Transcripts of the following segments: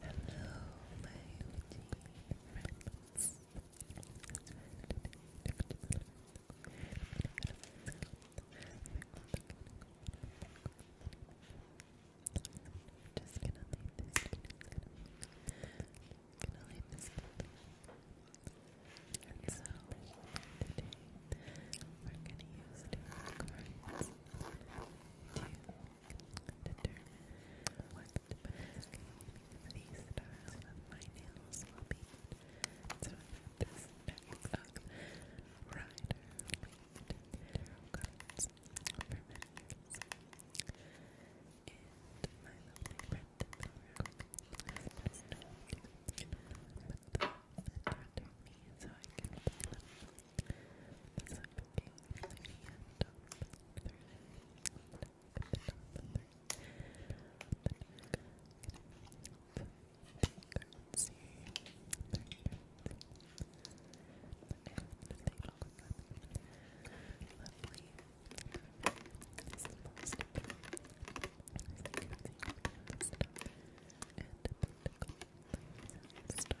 Hello, my OTB friends. Just gonna leave this. Gonna leave this. And so today we're gonna use two cards determine what the best these styles of my nails will be. So this next up, Cards for And my lovely friend has passed on to put them in front me so I can as I'm looking from the end up through the neck, the top and through the neck, and I can't see, I can't see, but now the thing all of them, lovely, it's the most important, it's like everything, it's stuff, and political, it's stuff,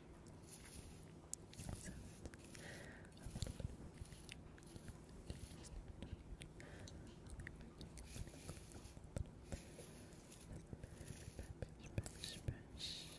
So, brush, brush. Get on that skin. Skin.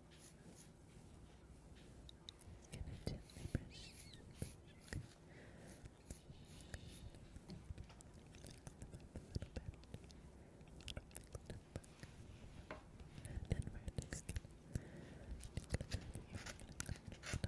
gonna gently brush, brush. And then we're just gonna Perfect.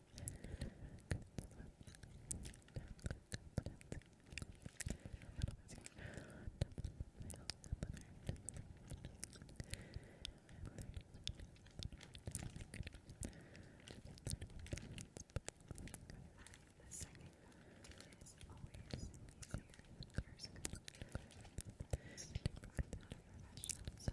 The second one is always easier. Yours is good. It's a professional, so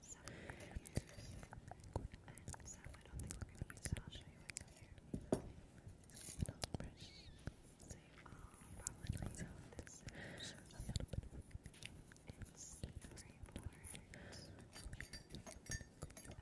So, so I don't think we're going to use it. I'll show you what's here. And I'll brush. So you all probably know this a little bit It's very important. The tool that we are going to be this little brush.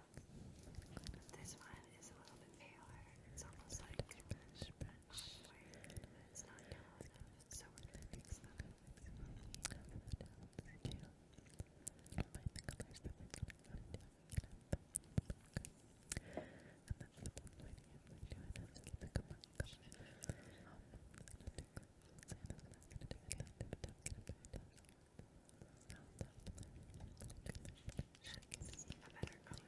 This one is a little bit paler. It's almost like brush, brush. But it's not yellow so we're gonna mix that Okay. And the one I'm just gonna pick up gonna have to do gonna do the one. I can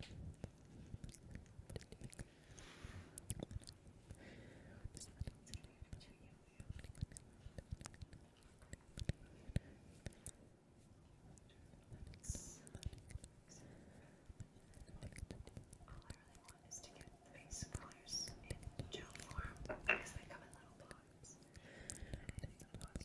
really want is to get face colors in gel form because they come in little bottles. And I think the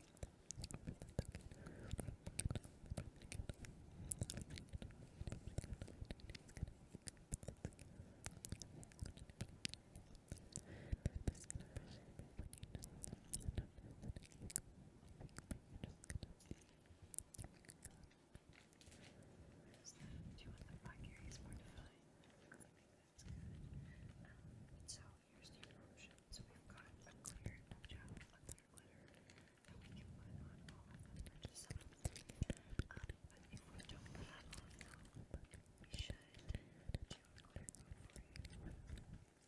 Do you want the black areas more defined? that's good. Um, so here's the options. So we've got a clear gel, a clear glitter that we can put on all of the purchases. Um, but if we don't put that on though, we should do a clear coat for you. That's really pretty. Yeah.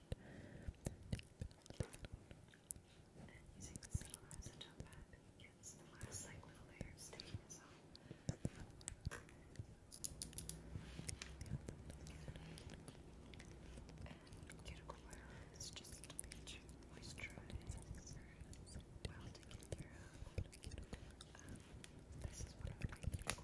And using the silver top hat gets the last like little layer of stickiness off. And cuticle oil is just a page moisturized well taken care of. this is one of my cuticle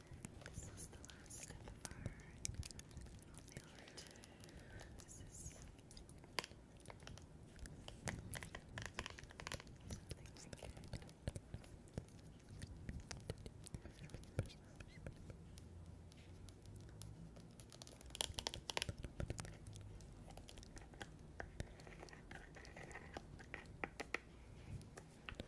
This is the last step of our nail routine. This is something we get. This